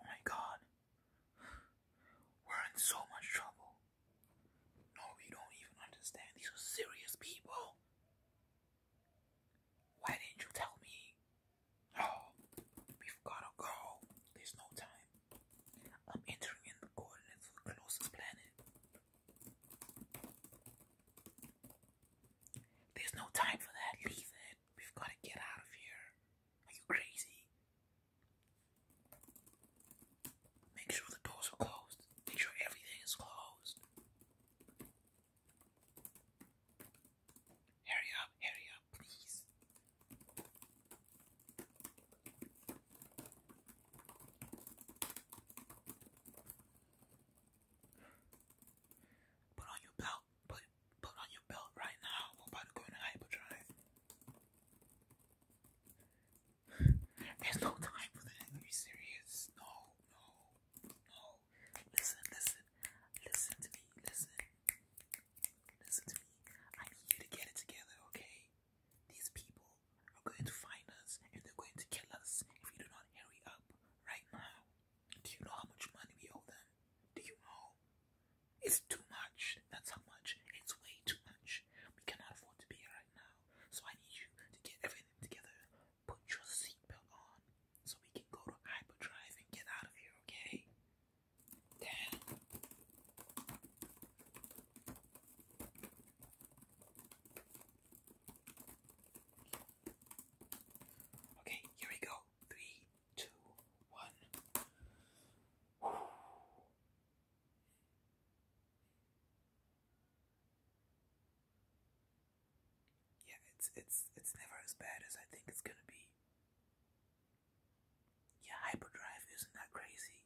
Oh my god. We're in so much trouble. No, we don't even understand. These are serious people. Why didn't you tell me? Oh, we've gotta go. There's no time. I'm entering in the coordinates for the closest planet. There's no time for that. Leave We've gotta get out of here. Are you crazy? Make sure the doors are closed. Make sure everything is closed. Hurry up, hurry up, please. Put on your belt put put on your belt right now. We're about to go into hyperdrive. There's no time for that. Are you serious? No, no, no. Listen, listen, listen to me. Listen, listen to me. I need you to get it together, okay? These people are going to find us, and they're going to kill us if we do not hurry up right now. Do you know how much money we owe them? Do you know? It's too much. That's how much. It's way too much. We cannot afford to be here now. So I need you to get everything together. Put your seatbelt on so we can go to hyperdrive and get out of here, okay? Okay, here we go. Three, two, one. Yeah, it's it's it's never as bad as I think it's gonna be. Yeah, hyperdrive isn't that crazy.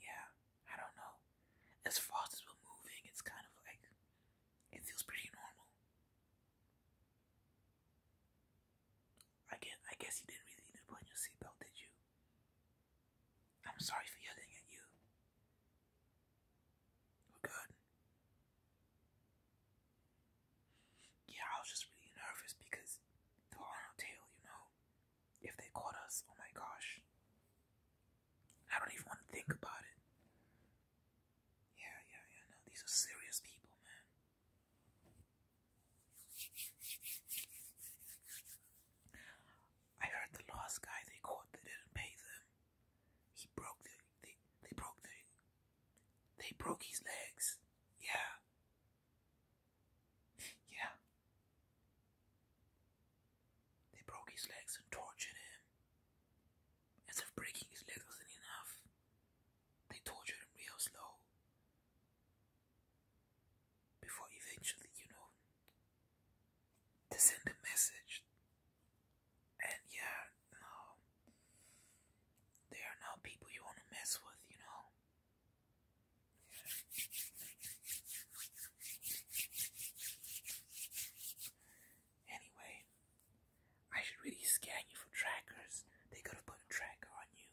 Yeah, I don't know. As fast as we're moving, it's kind of like it feels pretty normal. I guess, I guess you didn't really need to put on your seatbelt, did you? I'm sorry for yelling at you. We're good. Yeah, I was just really nervous because they were on our tail, you know. If they caught us, oh my gosh. I don't even want to think about it. Yeah, yeah, yeah, no, these are serious people, man. I heard the last guy they caught they didn't pay them. He broke the they they broke the they broke his legs. Yeah. Yeah. They broke his legs and tortured him. As if breaking his leg wasn't enough, they tortured him real slow. Before eventually, you know, to send a message. And yeah, no, um, are now people you want to mess with, you know. Anyway, I should really scan you for trackers. They could have put a tracker on you.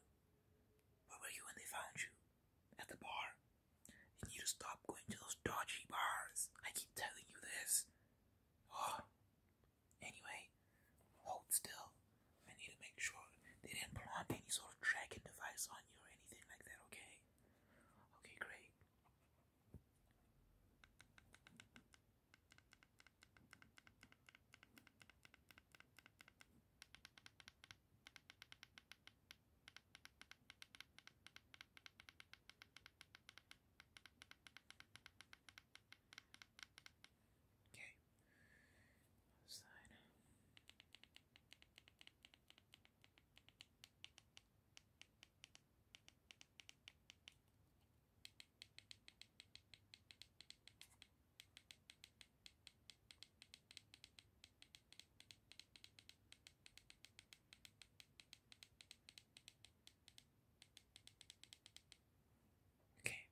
Where were you when they found you? At the bar. You need stop going to those dodgy bars. I keep telling you this. Oh. Anyway, hold still. I need to make sure they didn't plant any sort of tracking device on you or anything like that, okay? Okay, great. Okay. Other side. Okay. Okay,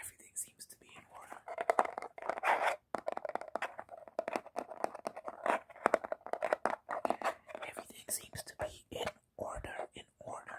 everything seems to be in order. Everything seems to be in order in order.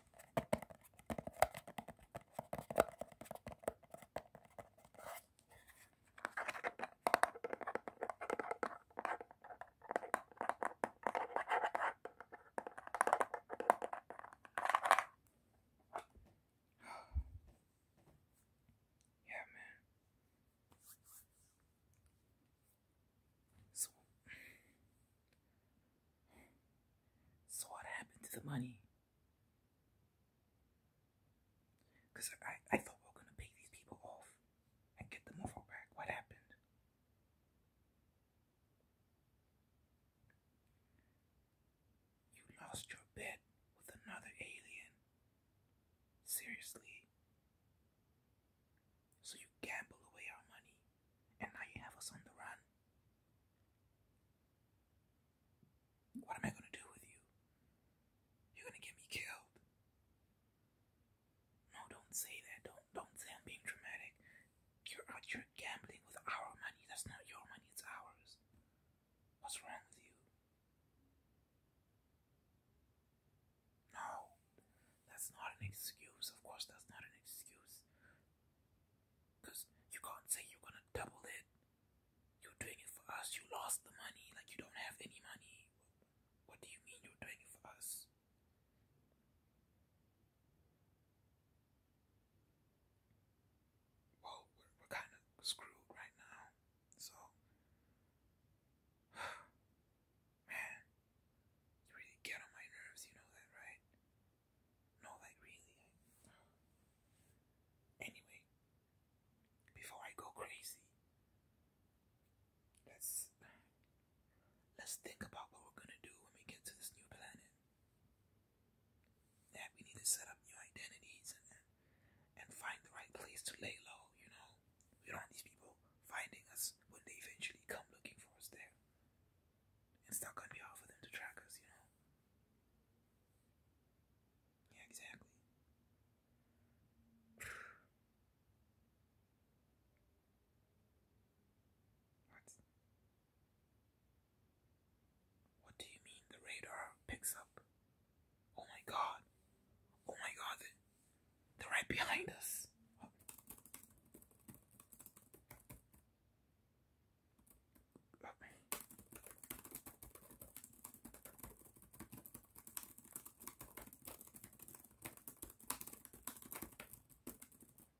yeah, man. So, so what happened to the money? Cause I, I thought we were gonna pay these people off and get the muffle back. What happened? You lost your bet with another alien. Seriously. So you gamble away our money. And now you have us on the run. What am I going to do with you? You're going to get me killed. No, don't say that. Don't don't say I'm being dramatic. You're out here gambling with our money. That's not your money, it's ours. What's wrong with you? No, that's not an excuse. Of course, that's not an excuse. Because you can't say you're gonna double it. You're doing it for us. You lost the money. Like, you don't have any money. What do you mean you're doing it for us? Well, we're, kind of screwed right now. So, man, you really get on my nerves, you know that, right? No, like really. Anyway, before I go crazy, let's let's think about what we're gonna do when we get to this new planet. That we need to set up new identities and and find the right place to lay low. You know, we don't want these people finding us when they eventually come looking for us there. It's not gonna be hard for them to track us, you know? Yeah, exactly. what? What do you mean the radar picks up? Oh my god. Oh my god, they're right behind us.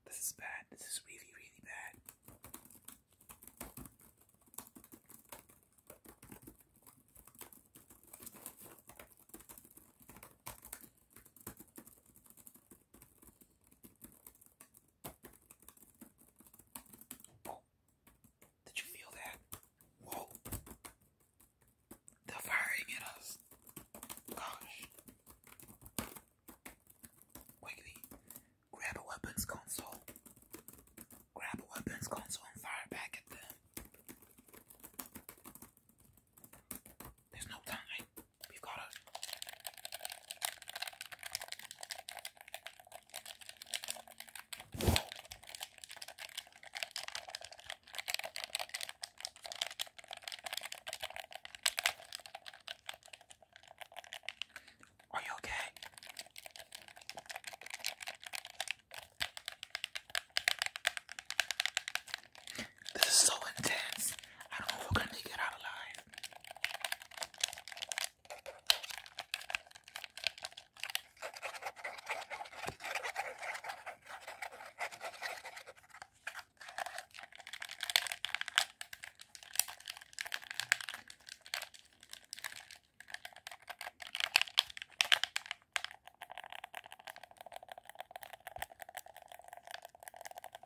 This is bad. This is really, really bad. Did you feel that? Whoa. They're firing at us. Gosh. Quickly, grab a weapons console. Grab a weapons console and fire back at them. There's no time we got it. Are you okay? This is so intense. I don't know if we're gonna make it out alive.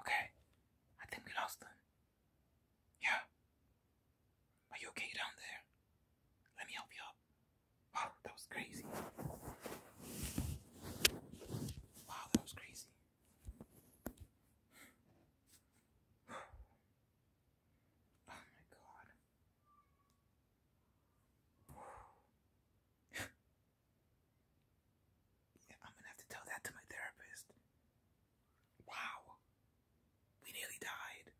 Okay. I think we lost them. Yeah. Are you okay down there? Let me help you up. Wow, that was crazy. Wow, that was crazy. Oh my god. I'm gonna have to tell that to my therapist. Wow. We nearly died.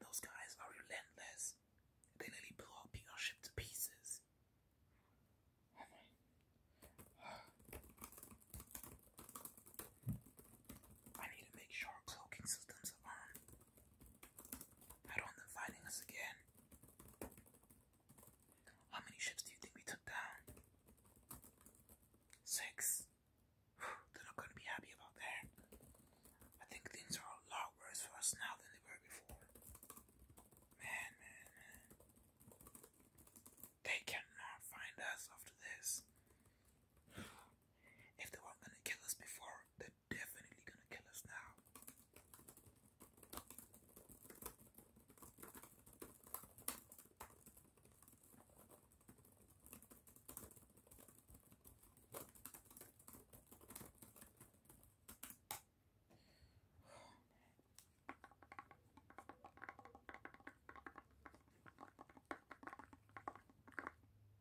Those guys are relentless. They nearly blew our ship to pieces. I need to make sure cloaking systems are on. I don't want them finding us again. How many ships do you think we took down? Six. they're not going to be happy about that. I think things are a lot worse for us now than they were before. Man, man, man. They cannot find us after this. If they weren't going to kill us before, they're definitely going to kill us now.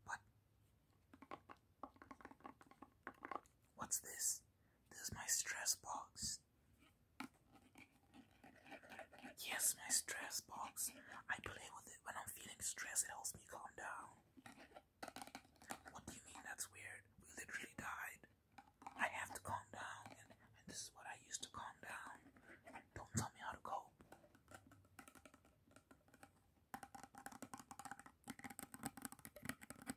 What? What's this? This is my stress box. Yes, my stress box. I play with it when I'm feeling stressed. It helps me calm down. What do you mean that's weird? We literally died. I have to calm down, and, this is what I use to calm down. Don't tell me how to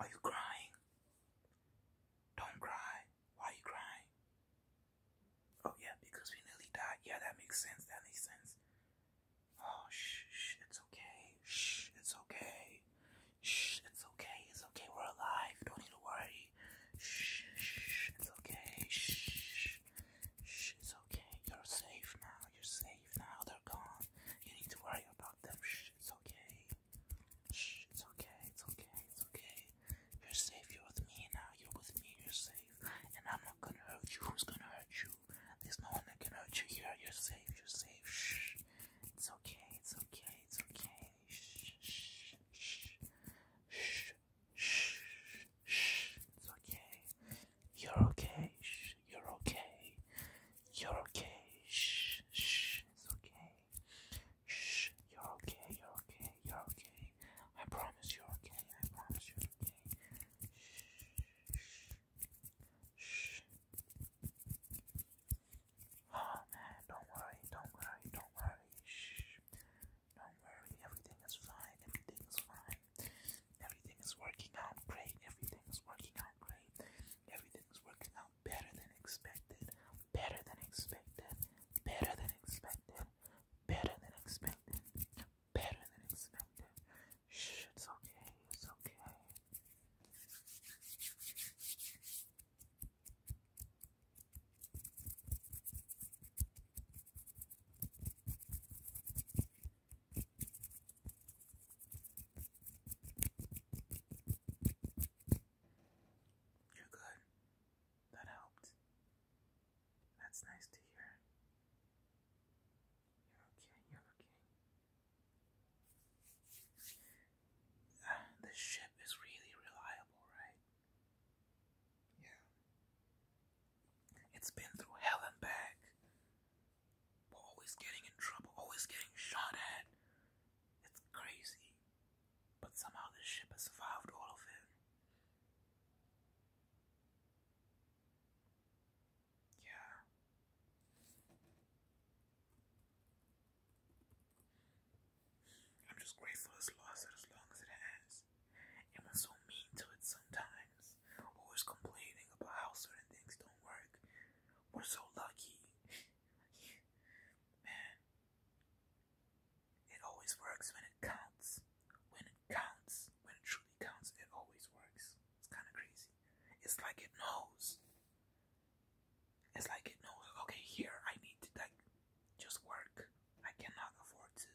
Are you crying? Don't cry. Why are you crying? Oh yeah, because we nearly died. Yeah, that makes sense. That makes sense. Oh shh, shh it's okay. Shh, it's okay. Shh, it's okay. It's okay. We're alive. Don't need to worry. Shh, shh, it's okay. Shh, shh, it's okay. You're safe now. You're safe now. They're gone. You need to worry about them. Shh, it's okay. Shh, it's okay. It's okay. It's okay. You're safe, you're with me now, you're with me, you're safe. And I'm not gonna hurt you, who's gonna hurt you? There's no one that can hurt you here, you're safe, you're safe. Shh. It's okay, it's okay, it's okay. Shh, shh, shh, shh, shh, shh. It's okay. You're okay, shh, you're okay. You're okay, shh, shh, it's okay. Shh, you're okay, you're okay, you're okay. I promise you're okay. I promise you're okay. Shh. Shh. Shh. Oh man, don't worry, don't worry, don't worry. Shh. Don't worry, everything is fine, everything is fine. Everything is working out great, everything is working out great. Everything is working out better than expected, better than expected, better than expected, better than expected, better than expected. Shh, it's okay, it's okay. You're good. That helped. That's nice to hear. You're okay, you're okay. Uh, ah, the ship is really reliable, right? Yeah. It's been through hell and back. always getting in trouble, always getting shot at. It's crazy. But somehow this ship has survived all of it. Yeah. I'm just grateful it's lasted as long as it has. And was so mean to it sometimes. Always complaining about how certain things don't work. We're so lucky. Man. It always works when it counts. When it counts, when it truly counts, it always works. It's kind of crazy. It's like it knows. It's like it knows, okay, here I need to like just work. I cannot afford to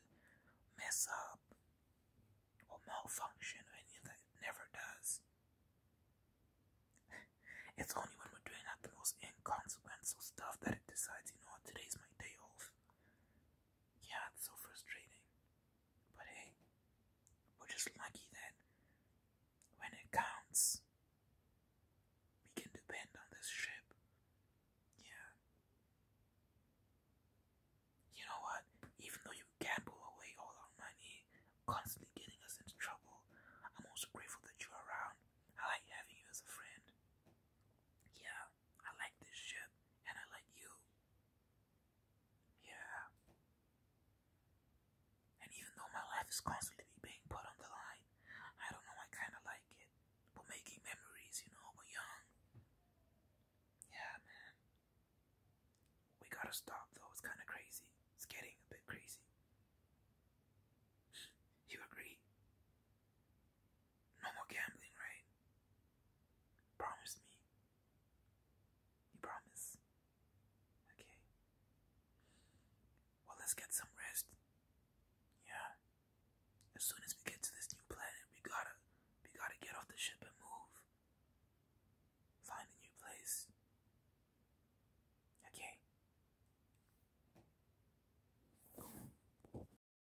mess up or malfunction or any of that. never does. it's only when we're doing like the most inconsequential stuff that it decides, you know today's my day off. Yeah, it's so frustrating. But hey, we're just lucky that when it counts, we can depend on this ship. Yeah. You know what? Even though you gamble away all our money, constantly getting us into trouble, I'm also grateful that you're around. I like having you as a friend. Yeah. I like this ship and I like you. Yeah. And even though my life is constantly being put on the line, I don't know, I kind of like it. But making memories, you know, we're young. Yeah, man. We gotta stop though, it's kind of crazy. It's getting a bit crazy. You agree? No more gambling, right? Promise me. You promise? Okay. Well, let's get some rest. Yeah. As soon as we get to this new planet, we gotta, we gotta get off the ship and move. Find a new place. Okay.